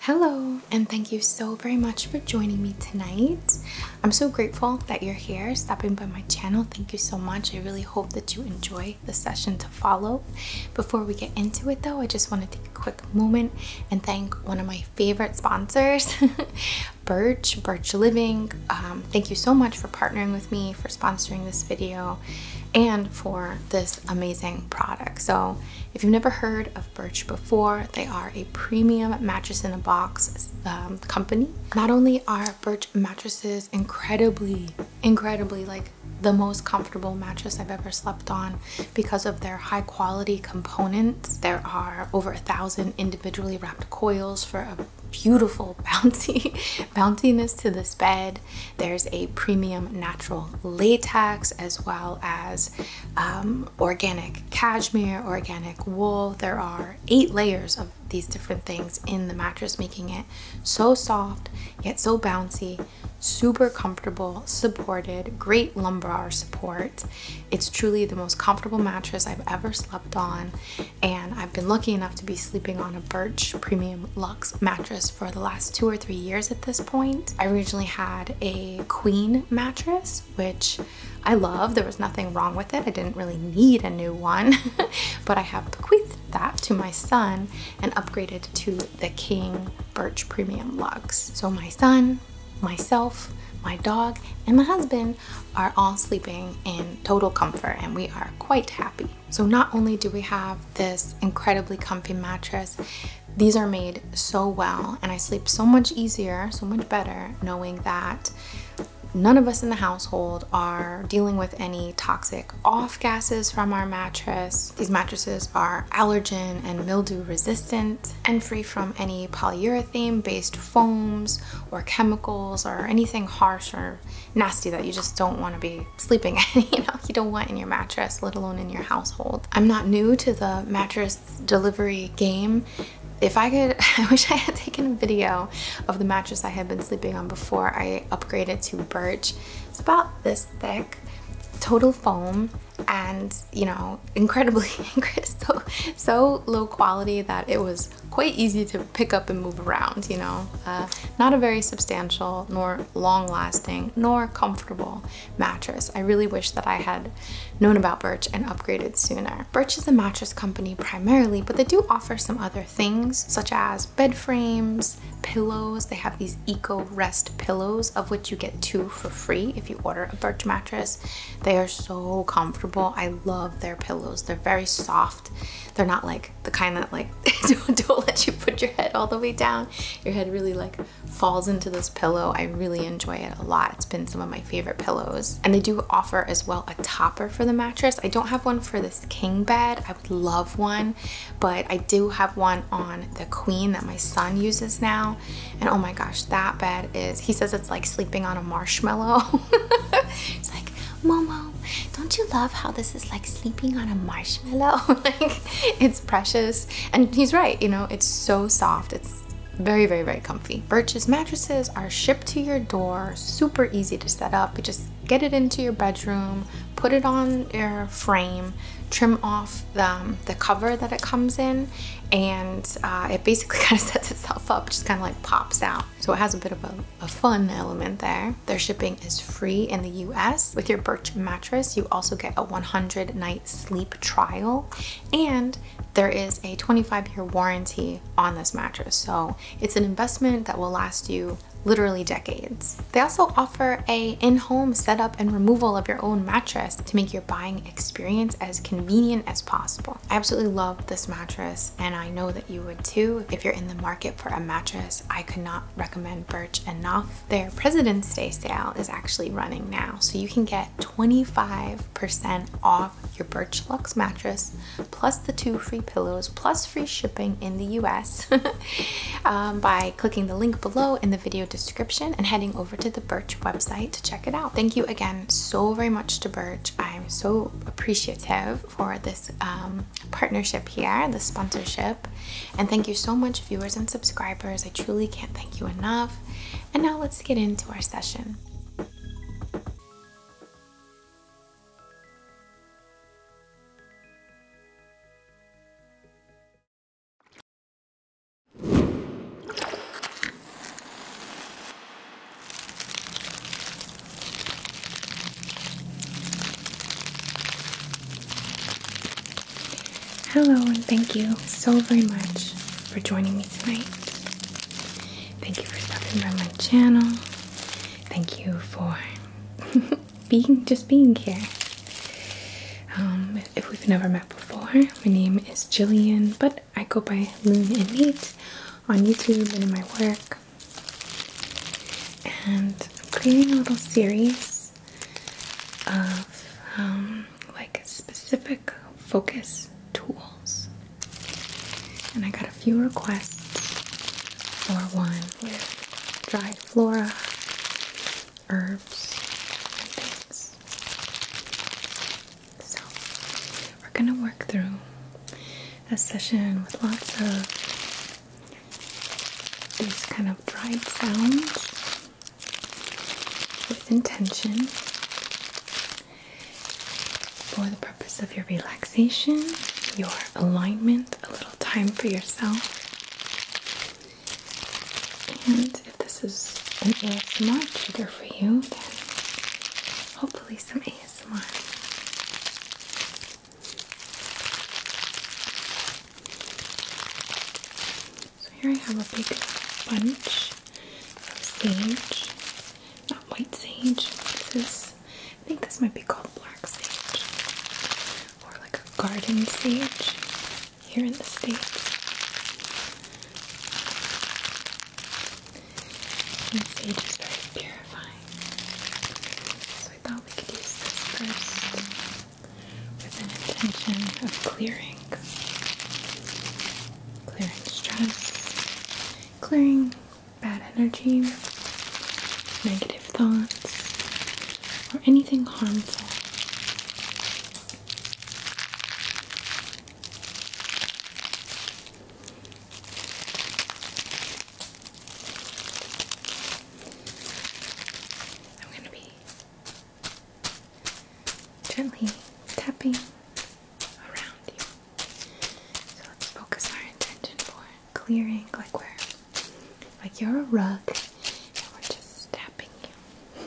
Hello, and thank you so very much for joining me tonight. I'm so grateful that you're here stopping by my channel. Thank you so much. I really hope that you enjoy the session to follow. Before we get into it, though, I just want to take a quick moment and thank one of my favorite sponsors, Birch, Birch Living. Um, thank you so much for partnering with me, for sponsoring this video, and for this amazing product. So, if you've never heard of Birch before. They are a premium mattress in a box um, company. Not only are Birch mattresses incredibly, incredibly like the most comfortable mattress I've ever slept on because of their high quality components. There are over a thousand individually wrapped coils for a beautiful bouncy bounciness to this bed. There's a premium natural latex as well as um, organic cashmere, organic wool. There are eight layers of these different things in the mattress, making it so soft yet so bouncy, super comfortable, supported, great lumbar support. It's truly the most comfortable mattress I've ever slept on, and I've been lucky enough to be sleeping on a Birch Premium Luxe mattress for the last two or three years at this point. I originally had a queen mattress, which I love. There was nothing wrong with it. I didn't really need a new one, but I have bequeathed that to my son and upgraded to the King Birch Premium Lux. So my son, myself, my dog, and my husband are all sleeping in total comfort and we are quite happy. So not only do we have this incredibly comfy mattress, these are made so well, and I sleep so much easier, so much better, knowing that none of us in the household are dealing with any toxic off gases from our mattress. These mattresses are allergen and mildew resistant and free from any polyurethane based foams or chemicals or anything harsh or nasty that you just don't want to be sleeping in, you don't want in your mattress, let alone in your household. I'm not new to the mattress delivery game. If I could, I wish I had taken a video of the mattress I had been sleeping on before I upgraded to Birch. It's about this thick, total foam, and you know, incredibly, so, so low quality that it was quite easy to pick up and move around, you know. Uh, not a very substantial nor long lasting nor comfortable mattress. I really wish that I had known about Birch and upgraded sooner. Birch is a mattress company primarily, but they do offer some other things such as bed frames, pillows. They have these eco rest pillows of which you get two for free if you order a Birch mattress. They are so comfortable. I love their pillows. They're very soft. They're not like the kind that like don't, don't let you put your head all the way down. Your head really like falls into this pillow. I really enjoy it a lot. It's been some of my favorite pillows. And they do offer as well a topper for the mattress. I don't have one for this king bed. I would love one, but I do have one on the queen that my son uses now. And oh my gosh, that bed is, he says it's like sleeping on a marshmallow. It's like, Momo, don't you love how this is like sleeping on a marshmallow? like, it's precious and he's right, you know, it's so soft. It's very, very, very comfy. Birch's mattresses are shipped to your door, super easy to set up. You just get it into your bedroom, put it on your frame, trim off the, um, the cover that it comes in, and uh, it basically kind of sets itself up, just kind of like pops out. So it has a bit of a fun element there. Their shipping is free in the US. With your Birch mattress, you also get a 100 night sleep trial and there is a 25 year warranty on this mattress. So it's an investment that will last you literally decades. They also offer a in-home setup and removal of your own mattress to make your buying experience as convenient as possible. I absolutely love this mattress and I know that you would too. If you're in the market for a mattress, I could not recommend Birch enough. Their President's Day sale is actually running now, so you can get 25% off your Birch Lux mattress, plus the two free pillows, plus free shipping in the US um, by clicking the link below in the video description and heading over to the Birch website to check it out. Thank you again so very much to Birch. I'm so appreciative for this um, partnership here, the sponsorship and thank you so much, viewers and subscribers. I truly can't thank you enough. And now let's get into our session. Hello, and thank you so very much for joining me tonight. Thank you for stopping by my channel. Thank you for being just being here. Um, if we've never met before, my name is Jillian, but I go by Moon and Nate on YouTube and in my work. And I'm creating a little series of um, like specific focus tools. And I got a few requests for one with dried flora, herbs, and things. So we're gonna work through a session with lots of these kind of dried sounds with intention for the purpose of your relaxation, your alignment, a little time for yourself. And if this is an ASMR trigger for you, then hopefully some ASMR. So here I have a big bunch of sage, not white sage. This is, I think this might be called black sage or like a garden sage here in the States. sage is very purifying. So I thought we could use this first with an intention of clearing, clearing stress, clearing bad energy, negative thoughts, or anything harmful. I'm going to be gently tapping around you. So let's focus our intention for clearing, like we're like you're a rug, and we're just tapping you.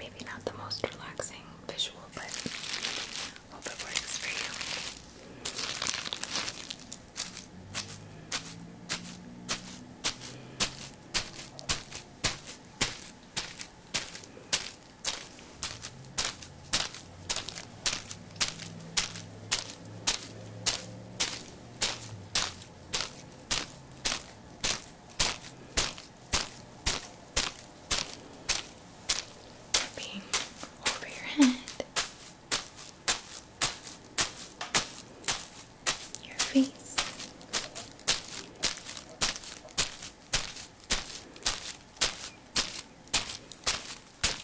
Maybe not the most relaxing visual, but hope it works for you. Being over your head your face.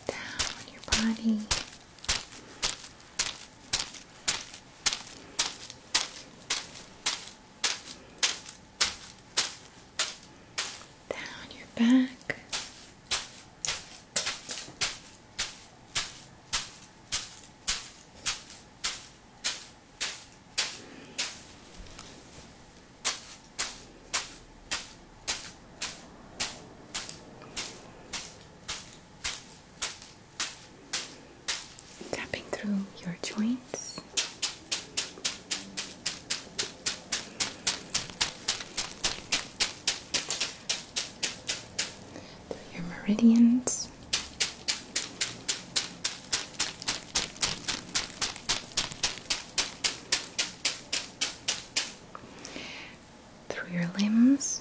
Down your body. Down your back. Tapping through your joints. Through your meridians this. Through your limbs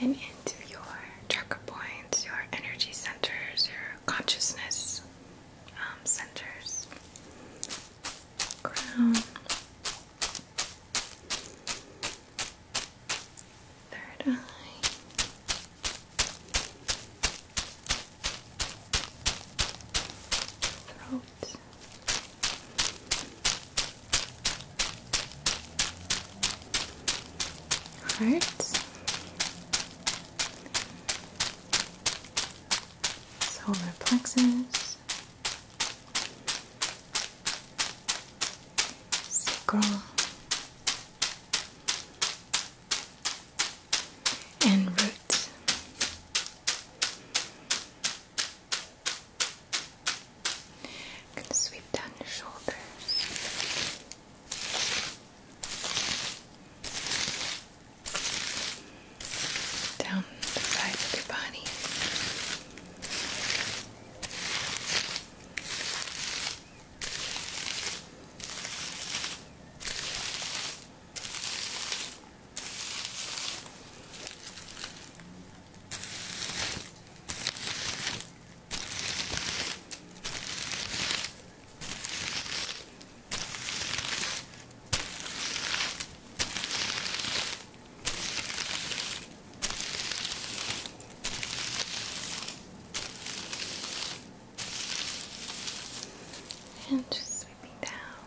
and into your chakra points, your energy centers, your consciousness um, centers, crown, third eye. Throat out. Heart. Solar plexus. Sacral. And root. I'm going to sweep down your shoulders. Down the side of your body. And just sweeping down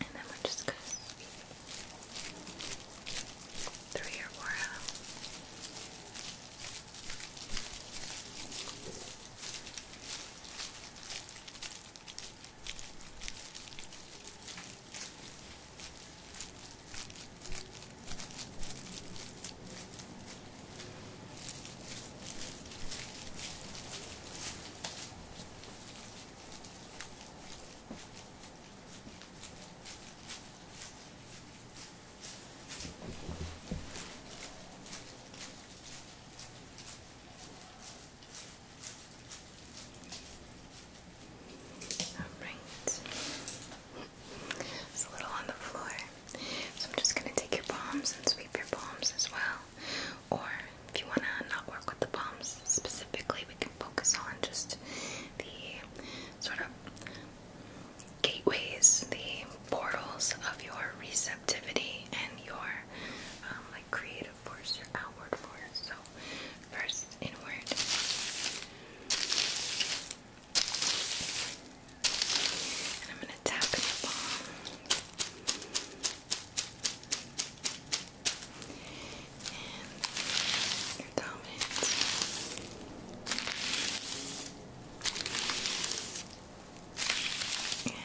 And then we're just gonna through your aura. Alright. It's a little on the floor. So I'm just going to take your palms and sweep your palms as well. Or if you want to not work with the palms specifically, we can focus on just the sort of gateways, the portals of your receptivity and your um, like creative force, your outward force. So first inward. And I'm going to tap in the palm and your confidence. Yeah. Okay.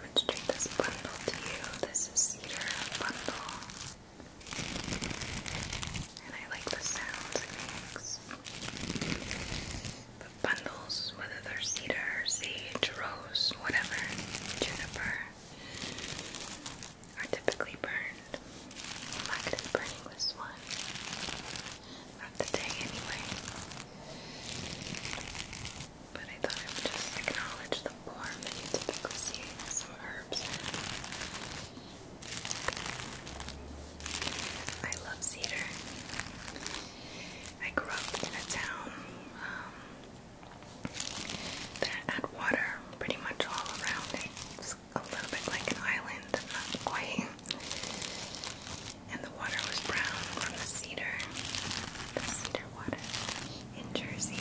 demonstrate this bundle to you. This is cedar bundle. And I like the sounds it makes. But bundles, whether they're cedar, sage, rose, whatever, juniper, are typically burned. I'm not going to be burning this one. Not today, anyway. But I thought I would just acknowledge the form that you typically see some herbs I love cedar. I grew up in a town um, that had water pretty much all around it. It's a little bit like an island, not quite. And the water was brown from the cedar, the cedar water in Jersey.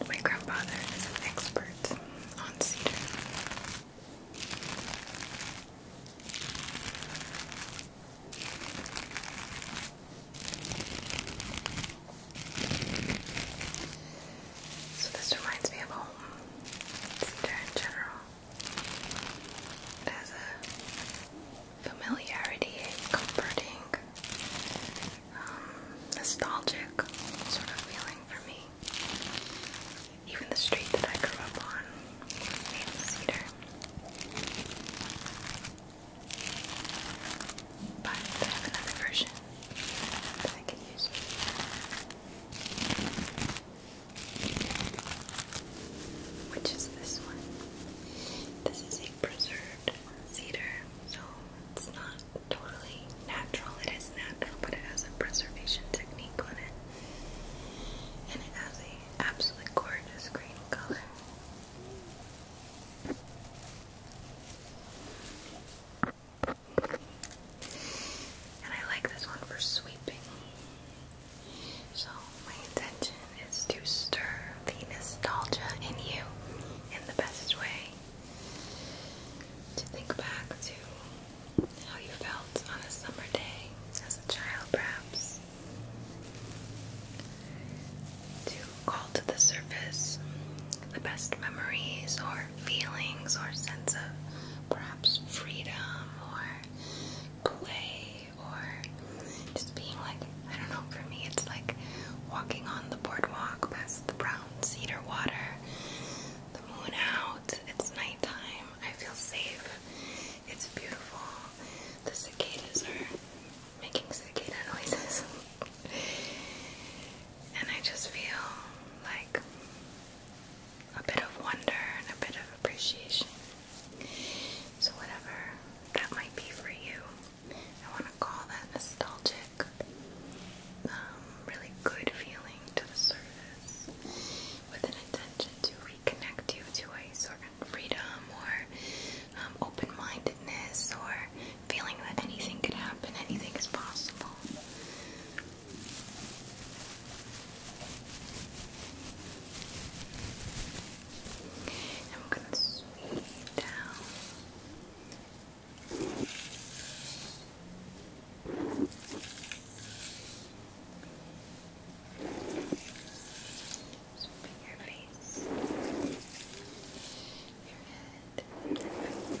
And my grandfather is an expert on cedar. So this reminds me of home. Cedar general. As a familiarity, a comforting, um, nostalgic sort of feeling for me. Even the street that I grew up on was cedar. But I have another version that I can use which is this one. This is a preserved cedar, so it's not totally natural. It is natural, but it has a preservation technique on it, and it has a absolutely gorgeous green color. And I like this one for sweeping. So, my intention is to stir the nostalgia in you in the best way. To think back to how you felt on a summer day as a child, perhaps. To call to the surface the best memories or feelings or sense of pride freedom or play or just being like, I don't know, for me it's like walking on the boardwalk past the brown cedar water, the moon out, it's nighttime, I feel safe, it's beautiful, the cicadas are making cicada noises. and I just feel like a bit of wonder and a bit of appreciation. So, whatever that might be for you, I want to call that nostalgic, um, really good feeling to the surface with an intention to reconnect you to a sort of freedom or um, open mindedness or feeling that anything could happen, anything is possible. I'm going to sweep down. Sweeping your face, your head, your face.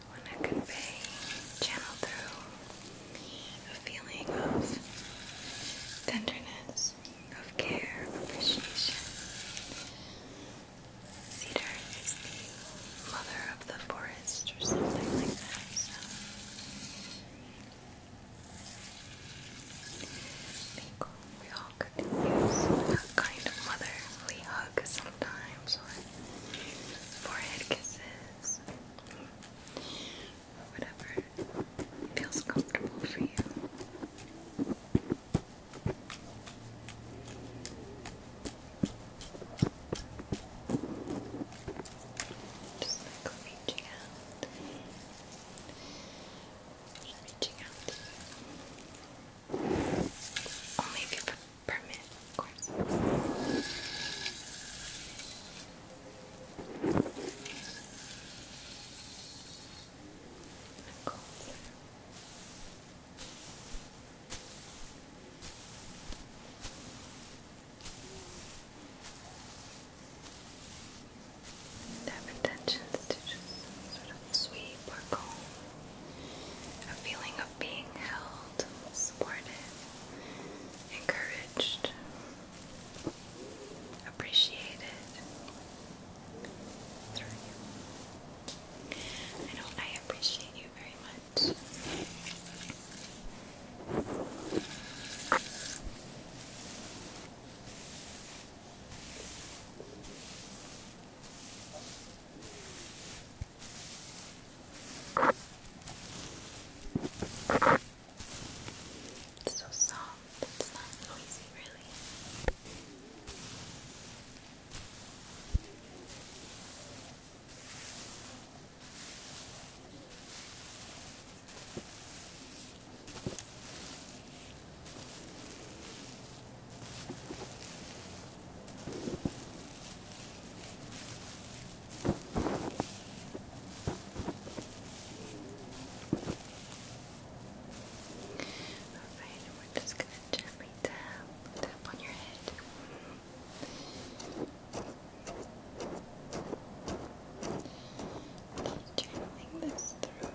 I want to convey, channel through a feeling of tenderness, of care, appreciation. Cedar is the mother of the forest or something like that, we all could use that kind of motherly hug sometimes or forehead kisses this. Whatever feels comfortable for you. Just like reaching out. reaching out Only if you put permit, intentions to just sort of sweep or comb a feeling being held, supported, encouraged, appreciated through you. I know I appreciate you very much. It's so soft, it's not noisy really. Alright, we're just gonna gently tap, tap on your head. Keep channeling this through.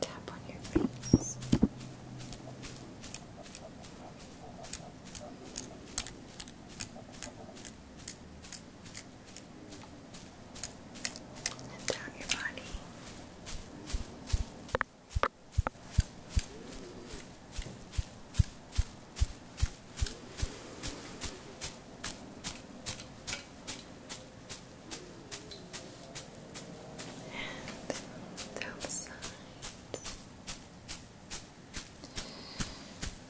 Tap on your face. And down your body. Good and those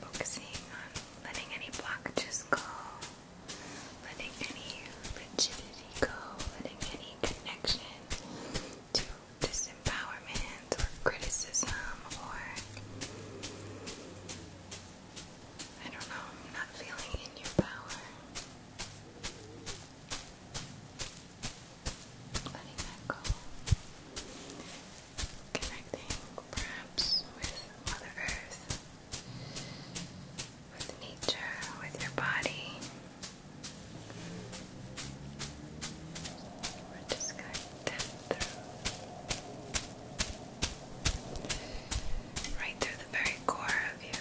Focusing on letting any blockages go, letting any rigidity go, letting any connection to disempowerment or criticism or I don't know, not feeling in your power letting that go. Connecting perhaps with Mother Earth, with nature, with your body. just going to through, right through the very core of you.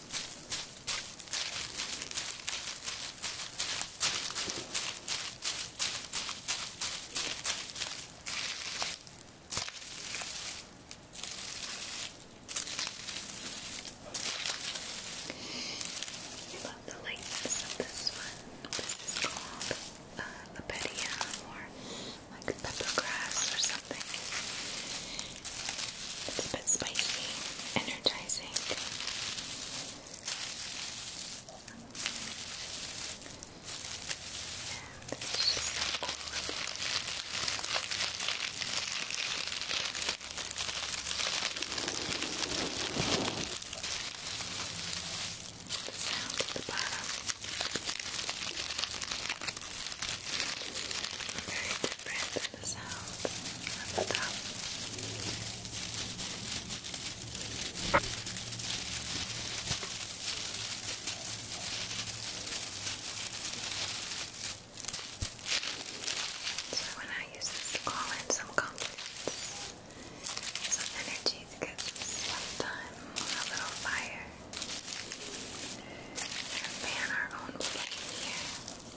I love the lightness of this one. This is called uh, Lebedia or like peppergrass or something. It's a bit spicy, energizing. And it's just so at the bottom. Very different So when I use this to in some confidence, some energy to get some stuff a little fire, and fan our own flame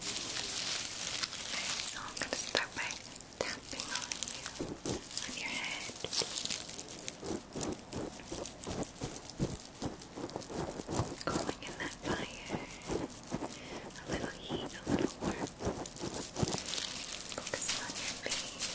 so I'm going to start by tapping on you, on your head. Calling in that fire. A little heat, a little warmth. Focusing on your face.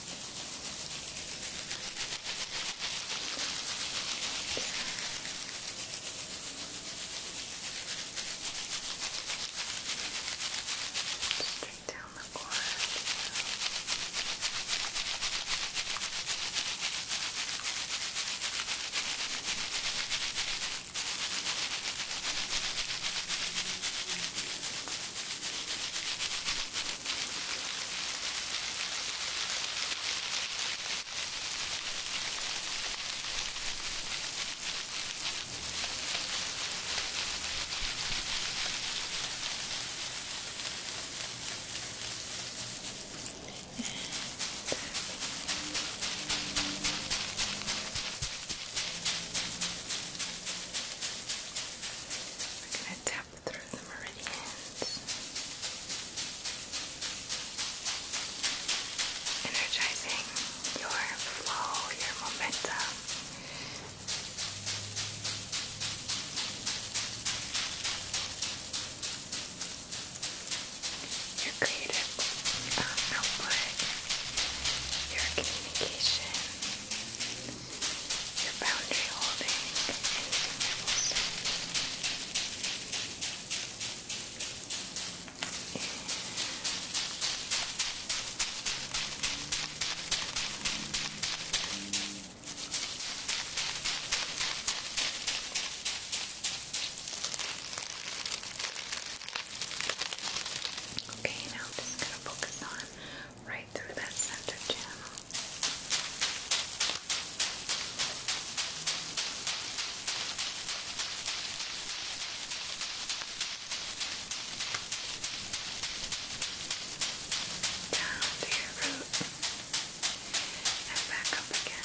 Straight down the cord. Good. We're going to tap through the meridians, energizing your flow, your momentum. Your creative um, output, your communication, your boundary Okay, now I'm just going to focus on right through that center channel. Down to your root and back up again.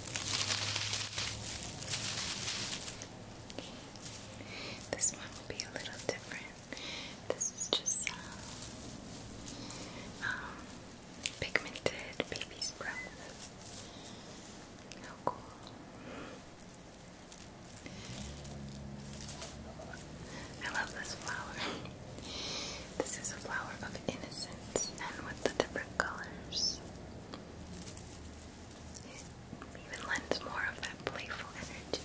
This one will be a little different. This is just uh, um, pigmented baby's breath. How cool. I love this flower. this is a flower of innocence and with the different colors. It even lends more of that playful energy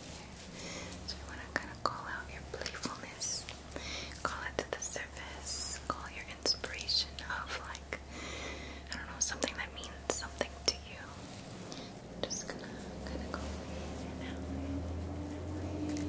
So you want to kind of call out your playfulness, call it to the surface, call your inspiration of like, I don't know, something that means something to you. just kind of go in and out, in and out, in and out.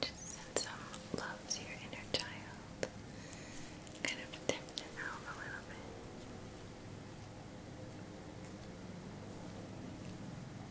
Just send some love your inner child. Kind of tip it out a little bit.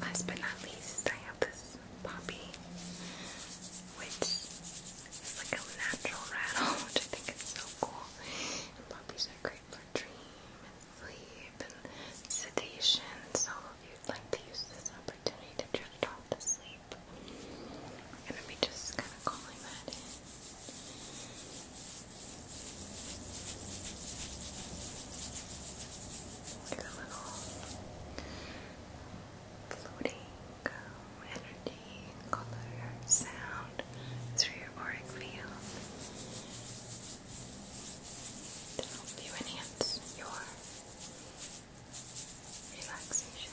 Last but not least, I have this poppy, which is like a natural rattle, which I think is so cool. And poppies are great for dream and sleep and sedation. So if you'd like to use this opportunity to drift off to sleep, I'm going just kind of calling that in. Like a little floating um, energy, color, sound through your auric field to help you enhance your relaxation.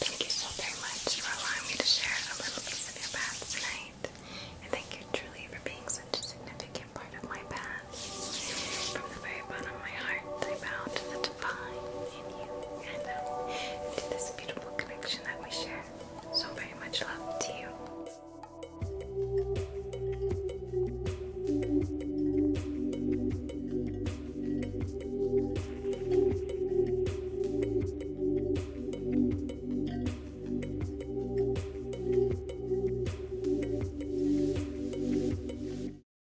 Thank you so very much for allowing me to share a little piece of your bath tonight. And thank you truly for being such a significant part of my path. From the very bottom of my heart, I bow to the divine and this beautiful connection that we share. So very much love to you.